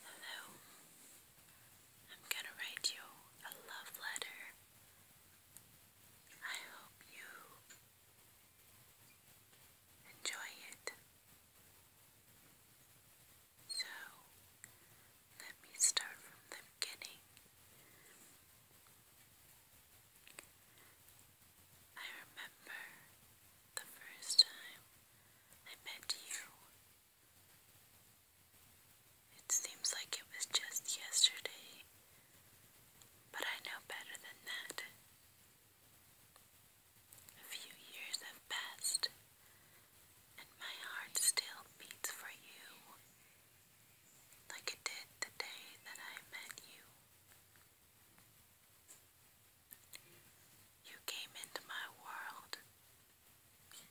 Hello. I'm going to write you a love letter. I hope you enjoy it. So, let me start from the beginning. I remember the first time I met you. It seems like it was just yesterday, but I know better than that. A few years have passed, and my heart still beats for you like it did the day that I met you. You came into my world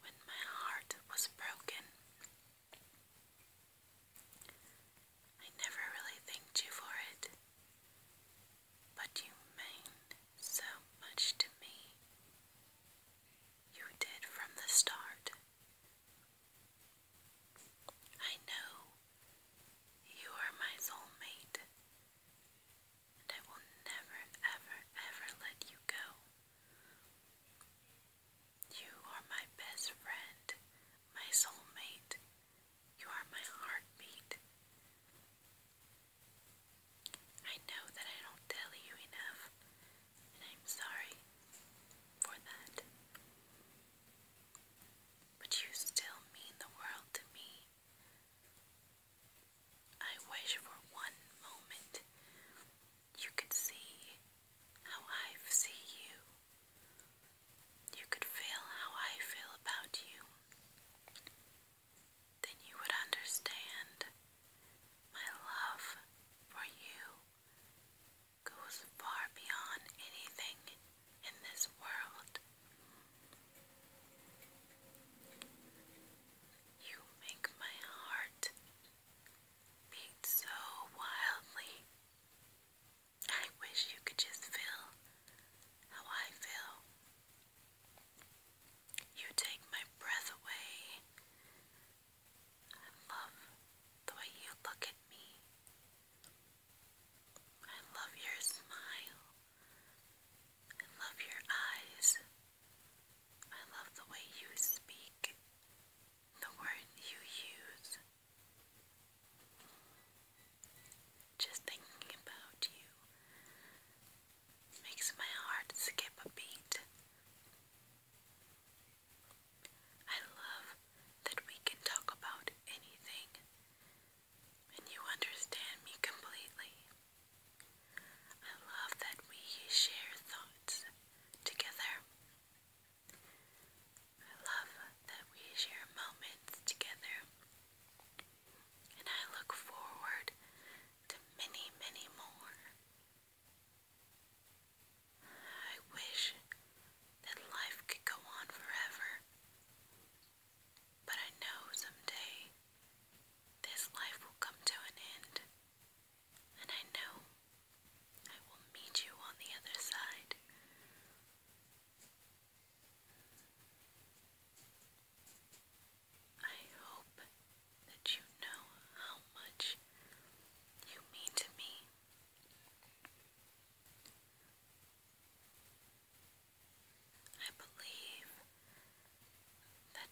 when my heart was broken. I never really thanked you for it, but you meant so much to me. You did from the start. I know you are my soulmate, and I will never, ever, ever let you go. You are my best friend, my soulmate. You are my heartbeat. I know that I don't tell you enough, and I'm sorry for that. But you still mean the world to me. I wish for one moment you could see how I see you. You could feel how I feel about you. Then you would understand my love for you goes far beyond anything in this world. You make my heart beat so wildly. I wish you could just feel how I feel. You take my breath away. I love the way you look at me. I love your smile. I love your eyes. I love the way you speak, the word you use. Just thinking about you makes my heart skip a beat. I love that we can talk about anything, and you understand me completely. I love that we share thoughts together. I love that we share moments together. And I look forward to many, many more I wish that life could go on forever, but I know someday this life will come to an end, and I know I will meet you on the other side. I hope that you know how much you mean to me. I believe that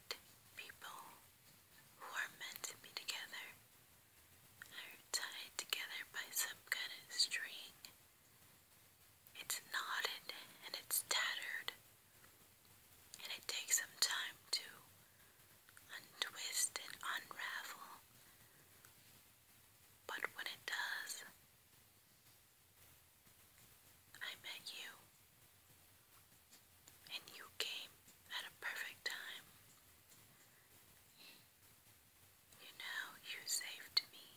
people who are meant to be together are tied together by some kind of string. It's knotted and it's tattered, and it takes some time to untwist and unravel. But when it does, I met you, and you came at a perfect time. You know, you saved me.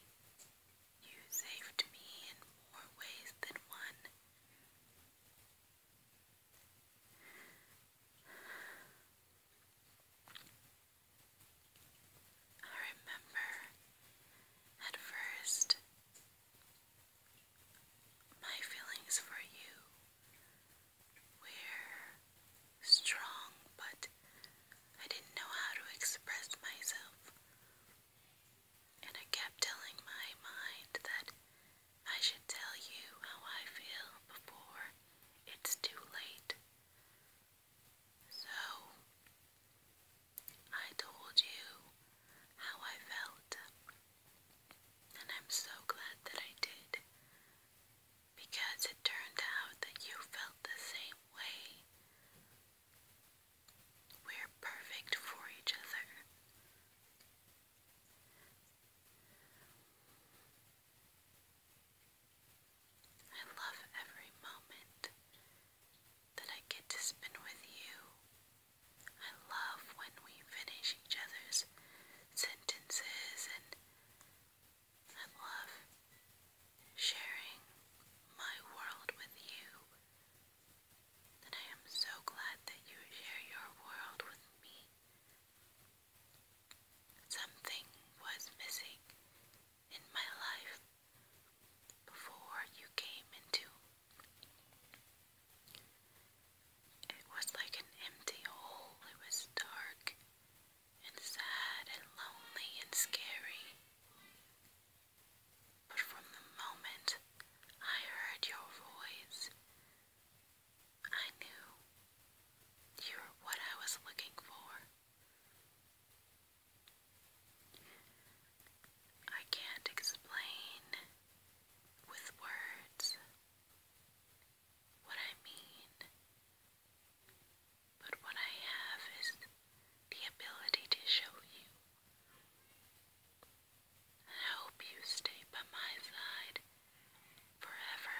You saved me in more ways than one. I remember at first my feelings for you were strong, but I didn't know how to express myself and I kept telling my mind that I should tell you how I feel before it's too late. So, I told you how I felt, and I'm so glad that I did, because it turned out that you felt the same way we're perfect for each other. I love every moment that I get to spend with you. I love when we finish each other's sentences, and I love sharing my world with you. And I am so glad that you share your world with me. Something was missing in my life before you came into. It was like an empty hole. It was dark and sad and lonely and scary. But from the moment I heard your voice, I knew you were what I was looking for. I can't explain with words what I mean but what I have is the ability to show you. I hope you stay by my side forever.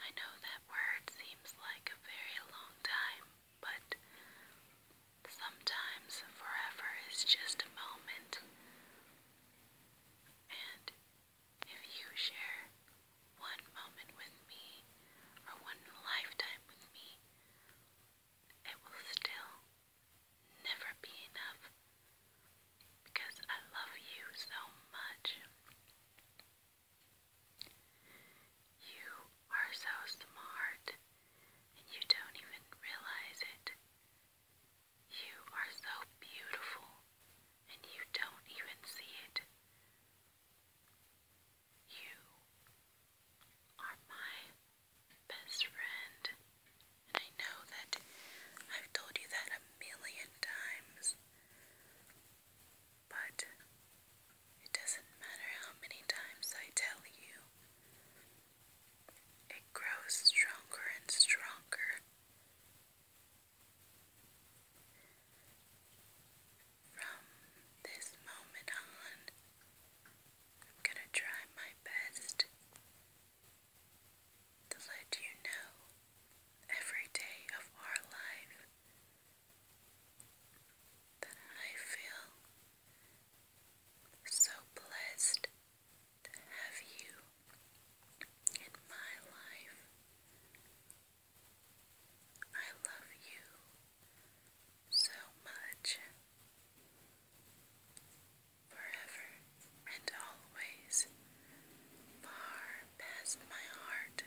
I know that word seems like a very long time, but sometimes forever is just a moment. And if you share one moment with me or one lifetime with me, it will still never be enough because I love you so much. You are so smart and you don't even realize it. You are so beautiful and you don't even see it. You are my best friend, and I know that I've told you that a million times, but it doesn't matter how many times I tell you. It grows stronger and stronger from this moment on, I'm going to try my best to let you know every day of our life that I feel so blessed to have you in my life. I love you so much. Forever and always, far past my heart.